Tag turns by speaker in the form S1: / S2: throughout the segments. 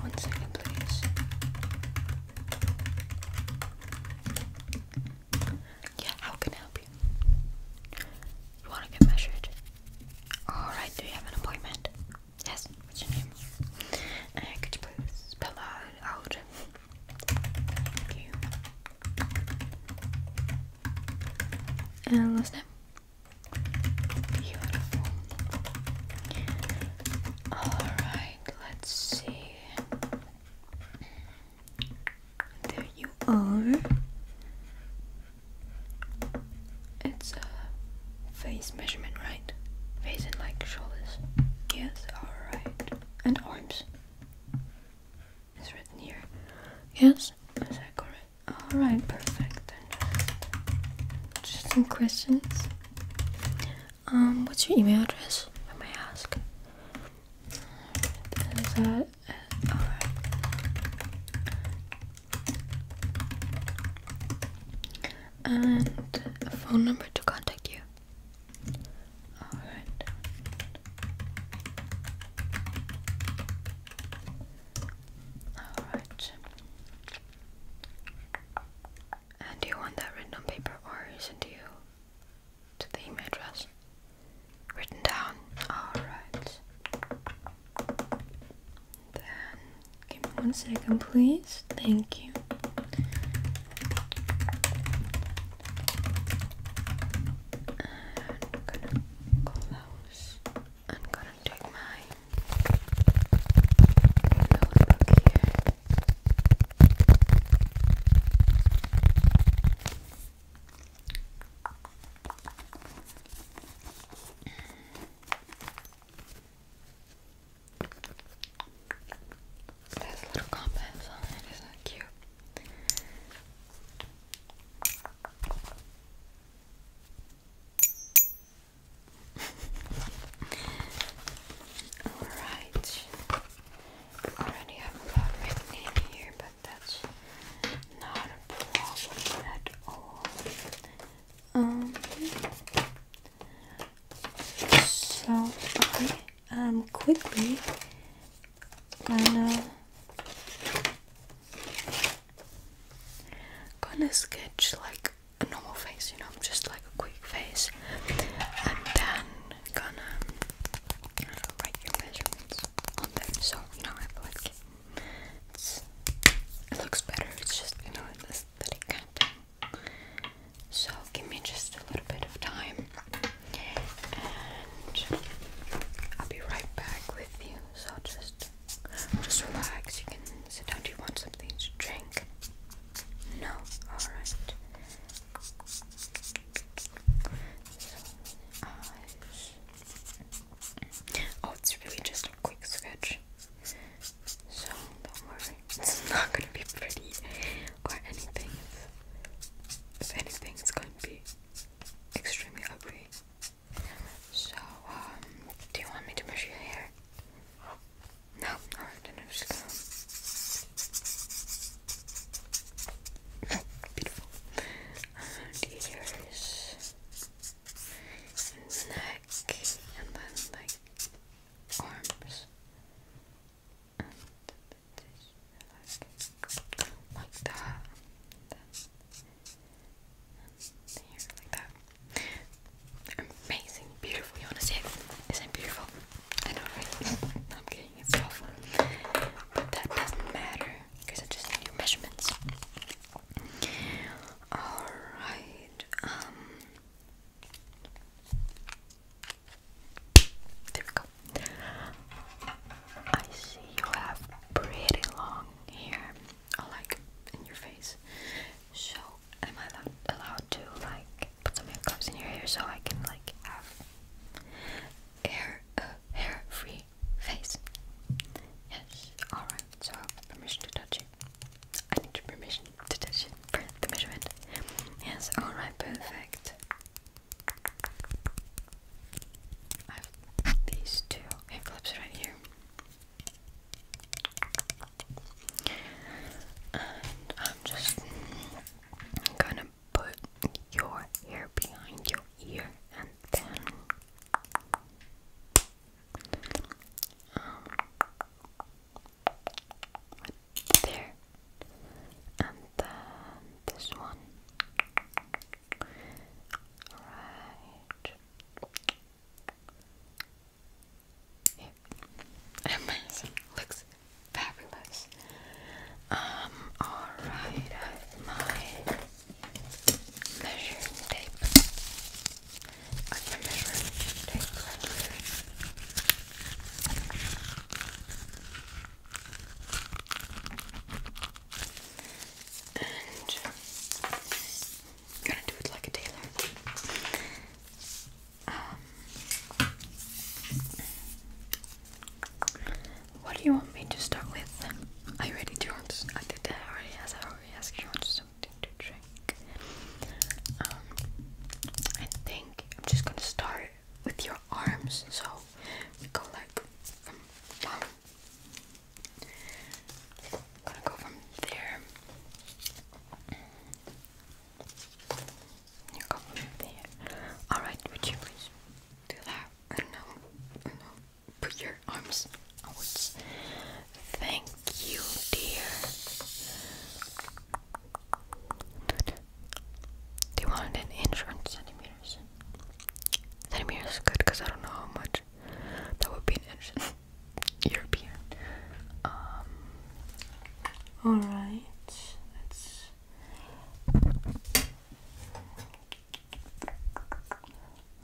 S1: One second, please. Yeah, how can I help you? You want to get measured? Alright, do you have an appointment? Yes, what's your name? Uh, could you please spell out? Thank you. And uh, last name? Beautiful. Alright, let's see. There you are. It's a face measurement, right? Face and like shoulders. Yes, alright. And arms. It's written here. Yes, is that correct? All right, perfect. Just some questions. Um, what's your email address? I may ask. Is that all right? And a phone number to contact you. All right. All right. And do you want that written on paper or sent to you to the email address? Written down. Alright. Then give me one second please. Thank you. I'm gonna close. I'm gonna take my notebook here. a little compass on it, isn't that cute? Alright. Already have a lot written here, but that's not a problem at all. Um so I am quickly gonna Gonna sketch like a normal face, you know, just like a quick face, and then gonna write your measurements on there. So you know, I feel like it's, it looks better. It's just you know, an aesthetic kind of thing. So give me just a little bit of time, and I'll be right back with you. So just just relax. You can sit down. Do you want something to drink? No. All right. Oh, it's really just a quick sketch. So don't worry. It's not gonna be pretty or anything. If anything, it's going to be extremely ugly. So, um, do you want me to brush your hair? No? I'm just gonna... Beautiful. Around the And the neck. And then, like, arms. And like, that amazing, beautiful. You want to see it? Isn't beautiful? I know, I'm kidding, it's awful. But that doesn't matter because I just need measurements. Alright, um. There we go. I see you have pretty long hair or like in your face. So am I allowed, allowed to like put some hair clips in your hair so I can like have hair uh, hair free face? Yes. Alright, so I have permission to touch it. I need permission to touch it for the measurement. Yes, alright, perfect. I have these two hair right here. I'm just gonna put your hair behind your ear and then um, there and then this one. Right amazing. Looks fabulous. Um, alright, my measuring tape. I have my measuring tape And gonna do it like a tailor. Um, what do you want me to start with? Are you ready, want to, I did that already I already asked you want something to drink. Um, I think I'm just gonna start with your arms, so we go like from i to go from there. You go from there. Alright, would you please do that? I don't know. I don't know. Put your arms outwards. Thank you, dear. Do you want an inch or centimeters? Centimeters is good because I don't know how much. That would be an inch. European. Um, all right, let's.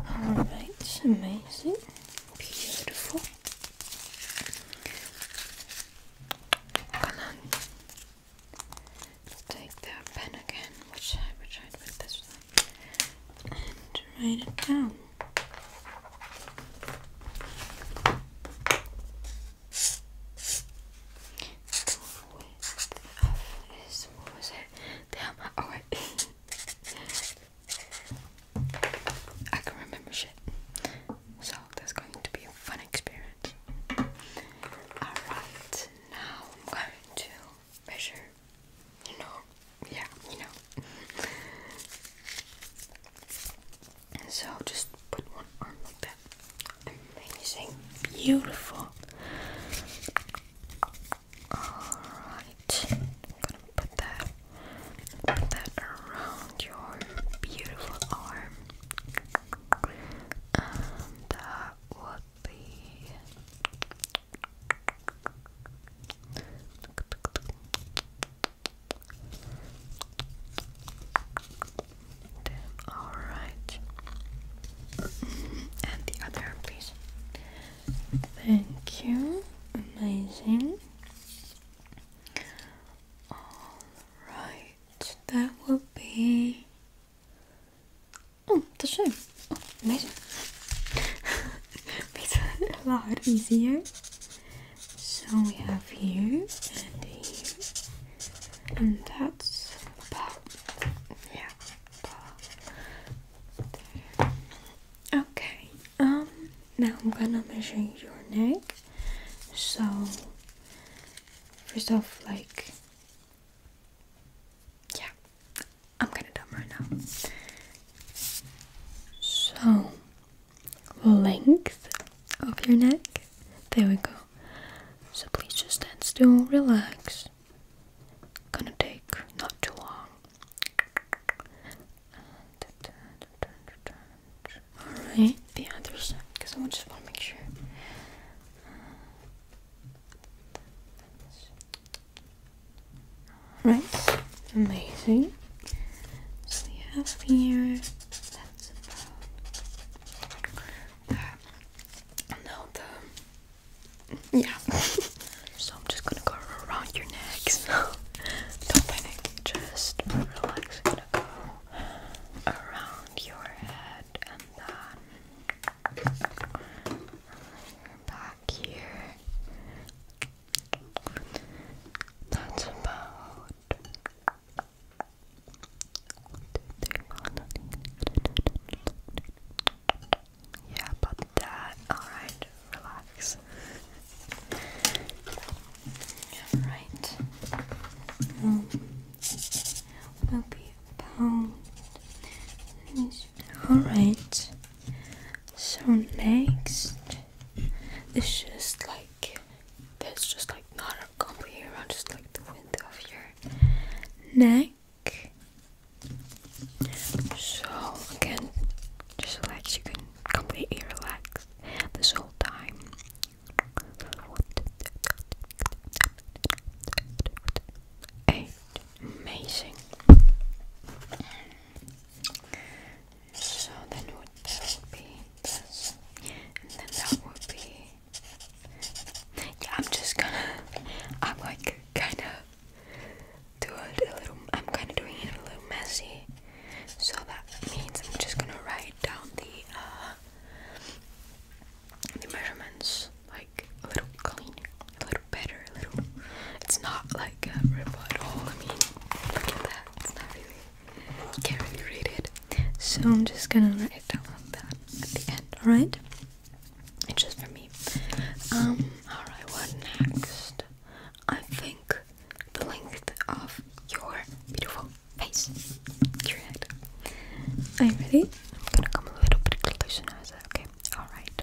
S1: All right, amazing, beautiful. Come Let's take the pen again, which I would with this one and write it down. Is, was it? Damn, oh, I can remember shit. So that's going to be a fun experience. Alright, now I'm going to measure you know, yeah, you know. so just put one arm like that. Amazing, beautiful. Alright, I'm gonna put that, put that around your beautiful arm. And that would all right. And the other, please. Thank you. Amazing. All right. That will be. Oh, the same. Oh, amazing. Makes it a lot easier. So we have here and here, and that's about yeah. About Okay. Um. Now I'm gonna measure your neck. So first off, like. Yeah, I'm gonna dumb right now. So, length of your neck. There we go. So please just stand still, relax. Gonna take not too long. Alright, the other side, because I just want to make sure. Right, amazing. So we have here, that's about, uh, no, the, yeah. so I'm just gonna go around your necks. don't panic, just relax. I'm gonna go around your head and then back here. That's about yeah, about that. Alright, relax. Alright. Alright. So next it's just like it's just like not a company around just like the window of your neck. So again, just relax. You can completely relax this whole time. amazing. So then what would be this, and then that would be. Yeah, I'm just gonna. I'm like kind of do it a little. I'm kind of doing it a little messy. So that means I'm just gonna write down the uh, the measurements like a little clean, a little better. It's not like a robot at all. I mean, look at that. It's not really. can't really read it. So I'm just gonna write it down that at the end. All right. It's just for me. Um. All right. What next? I think the length of your beautiful face. Your head. Are you ready? I'm gonna come a little bit closer okay? All right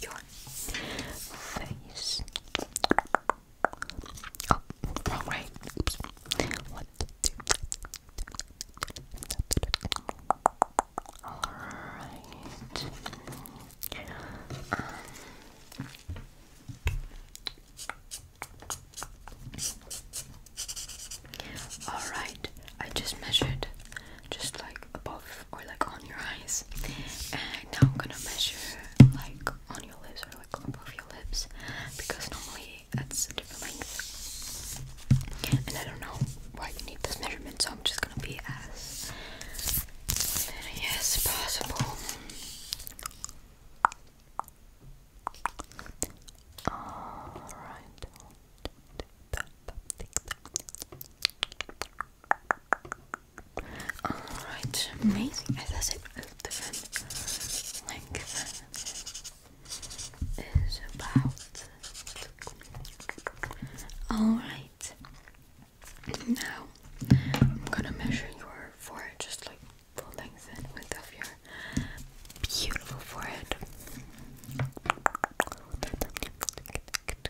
S1: your face. Oh, wrong way. One, two. Alright. Um, Alright, I just measured just like above or like on your eyes. And now I'm gonna measure like on your lips or like above your lips because normally that's a different length. And I don't know why you need this measurement, so I'm just gonna be as yes possible. Alright. Alright, amazing. As I length is about. Alright, now I'm gonna measure your forehead, just like full length and width of your beautiful forehead.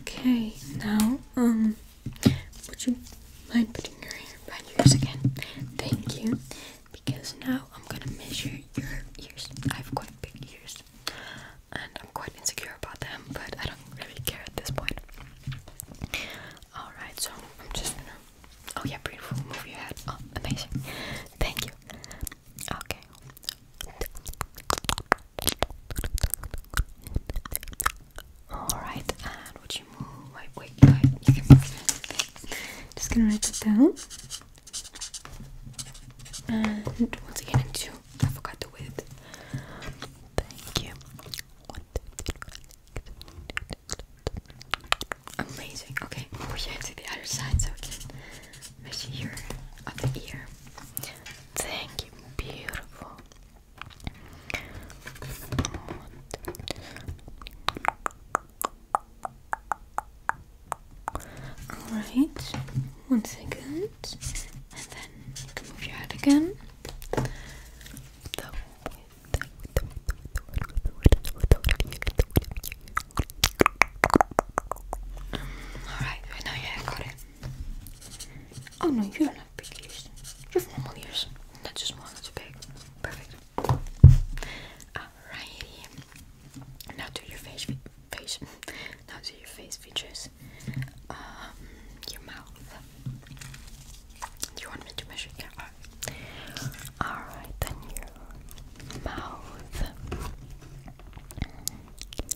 S1: Okay, now, um, would you mind putting your hair behind yours again? Thank you. Because now I'm gonna measure your ears. I have quite big ears, and I'm quite insecure about them, but I don't really care at this point. Alright, so I'm just gonna. Oh, yeah, beautiful. Move your head. Oh, amazing. Thank you. Okay. Alright, and would you move? Wait, wait, Just gonna write it down. And once again, into I forgot the width. Thank you. Amazing. Okay, we're going the other side so here of the ear. Thank you, beautiful. Alright, one second, and then move your head again. Alright, I know, yeah, I got it. Oh no, you don't have big ears. You have normal ears. That's just one, that's big. Perfect. Alrighty. Now do your face features. Um, your mouth. Do you want me to measure? Yeah, Alright, then your mouth.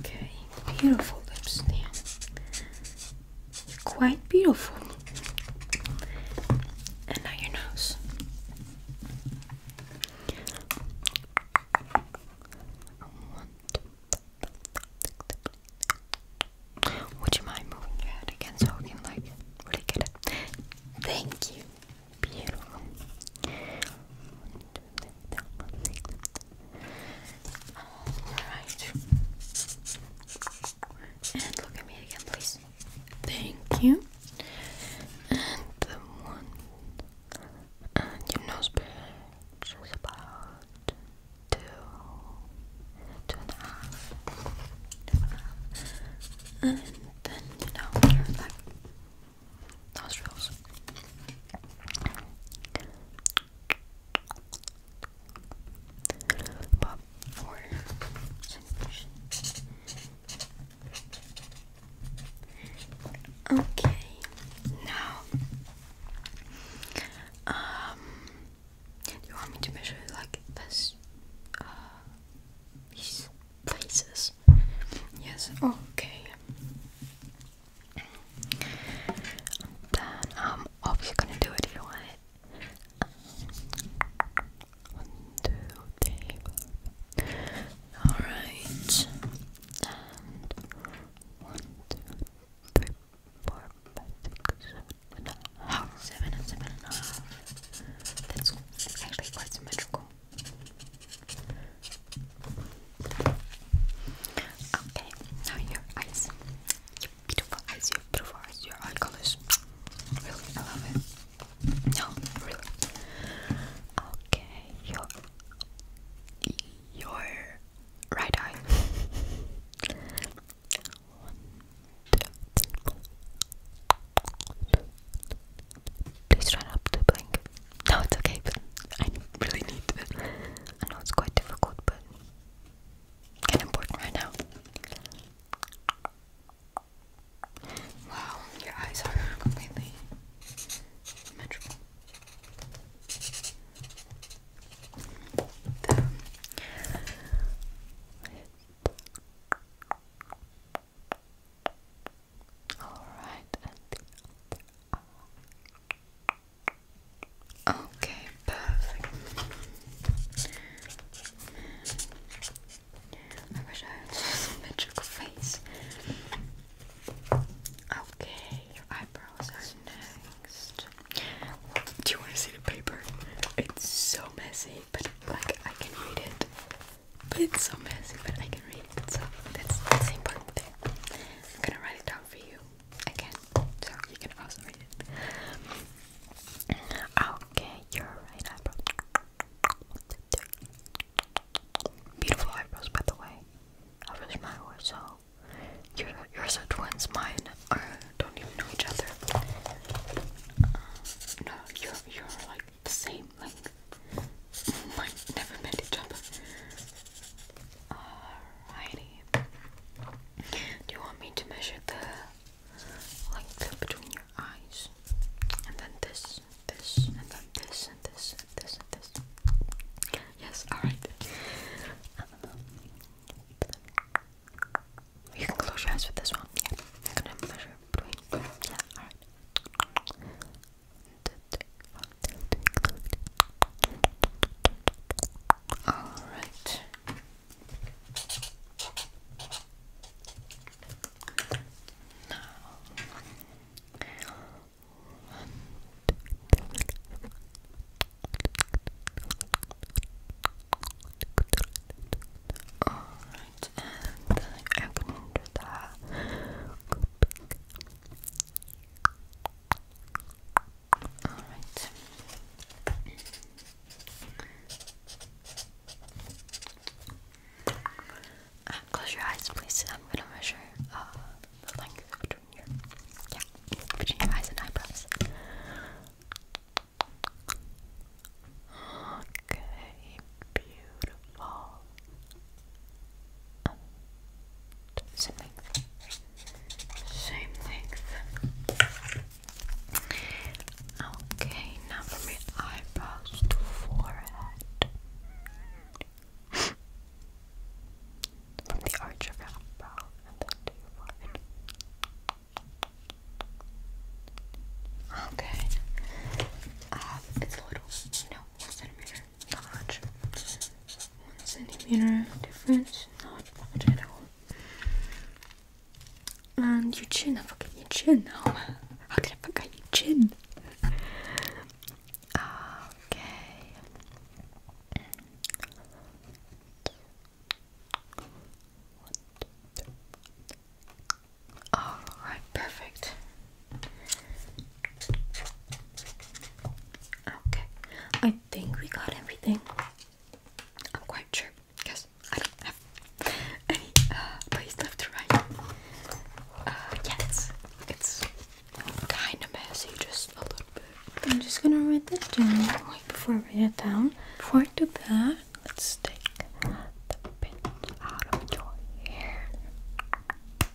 S1: Okay, beautiful lips, yeah. Quite beautiful. And now your nose. Would you mind moving your head again so we can like really get it? Thank you. Beautiful. Alright. And look at me again, please. Thank you. And the one and your nose bridge about two, two and a half, two and a half. And then you know, nostrils. Okay, now um do you want me to measure like this uh, places? Yes, okay. Then um obviously gonna do it if you want it. Um, one, two, three, four. And um, one, two, three, four, five, six, seven, and a half. Seven and seven and a half. That's actually quite symmetrical. Okay, now your eyes. Your beautiful eyes, your beautiful eyes, your eye colors. Really, I love it. No, really. Okay, your your right eye. Please try not to blink. No, it's okay, but I really need it. I know it's quite difficult, but kind of important right now. Wow, your eyes are completely symmetrical. Alright, and Okay, perfect. I wish I had some a magical face. Okay, your eyebrows are next. Do you want to see the paper? It's so messy, but like I can read it. But it's so messy, but I can read it. So that's the same part I'm gonna write it down for you again, so you can also read it. Okay, your right Beautiful eyebrows, by the way. I wish mine were so. Yours, yours are twins. Mine don't even know each other. no, you're you're like the same length might never met each other. Alrighty. Do you want me to measure the length between your eyes? And then this, this, and then this, and this, and this, and this. Yes, alright. you can close your eyes with this one. I'm gonna measure between. Yeah, alright. All right. Now, all right, and I can enter that. Go back. Um, close your eyes, please. I'm gonna measure uh, the length between your yeah between your eyes and eyebrows. Okay, beautiful. Same length. Same length. Okay, now from your eyebrows to forehead. from the arch of your brow and then to forehead. Okay. Um, it's a little, no, centimeter not One centimeter difference, not much at all. And your chin, I forget your chin now. I forget your chin? Okay. All right, perfect. Okay, I think we got everything. I'm quite sure because I don't have any uh, place left to write. Uh, yeah, it's, it's kind of messy, just a little bit. I'm just gonna write that down. Wait, before I write it down, before I do that, let's take the pins out of your hair.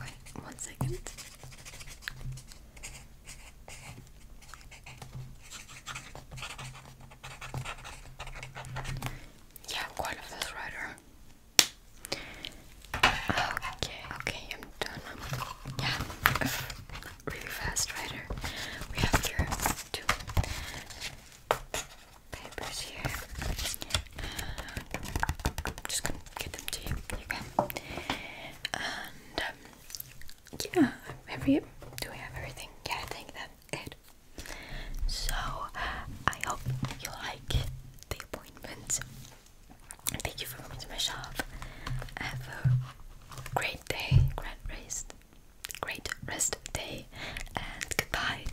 S1: Wait, one second. Yeah, quite of this rider. Okay, okay, I'm done. yeah, really fast rider. We have two papers here. I'm just gonna get them to you. Okay. And um, yeah, have do we have everything? Yeah, I think that's it. So I hope you like the appointment. Thank you for coming to my shop. Have a great day, great rest, great rest day, and goodbye.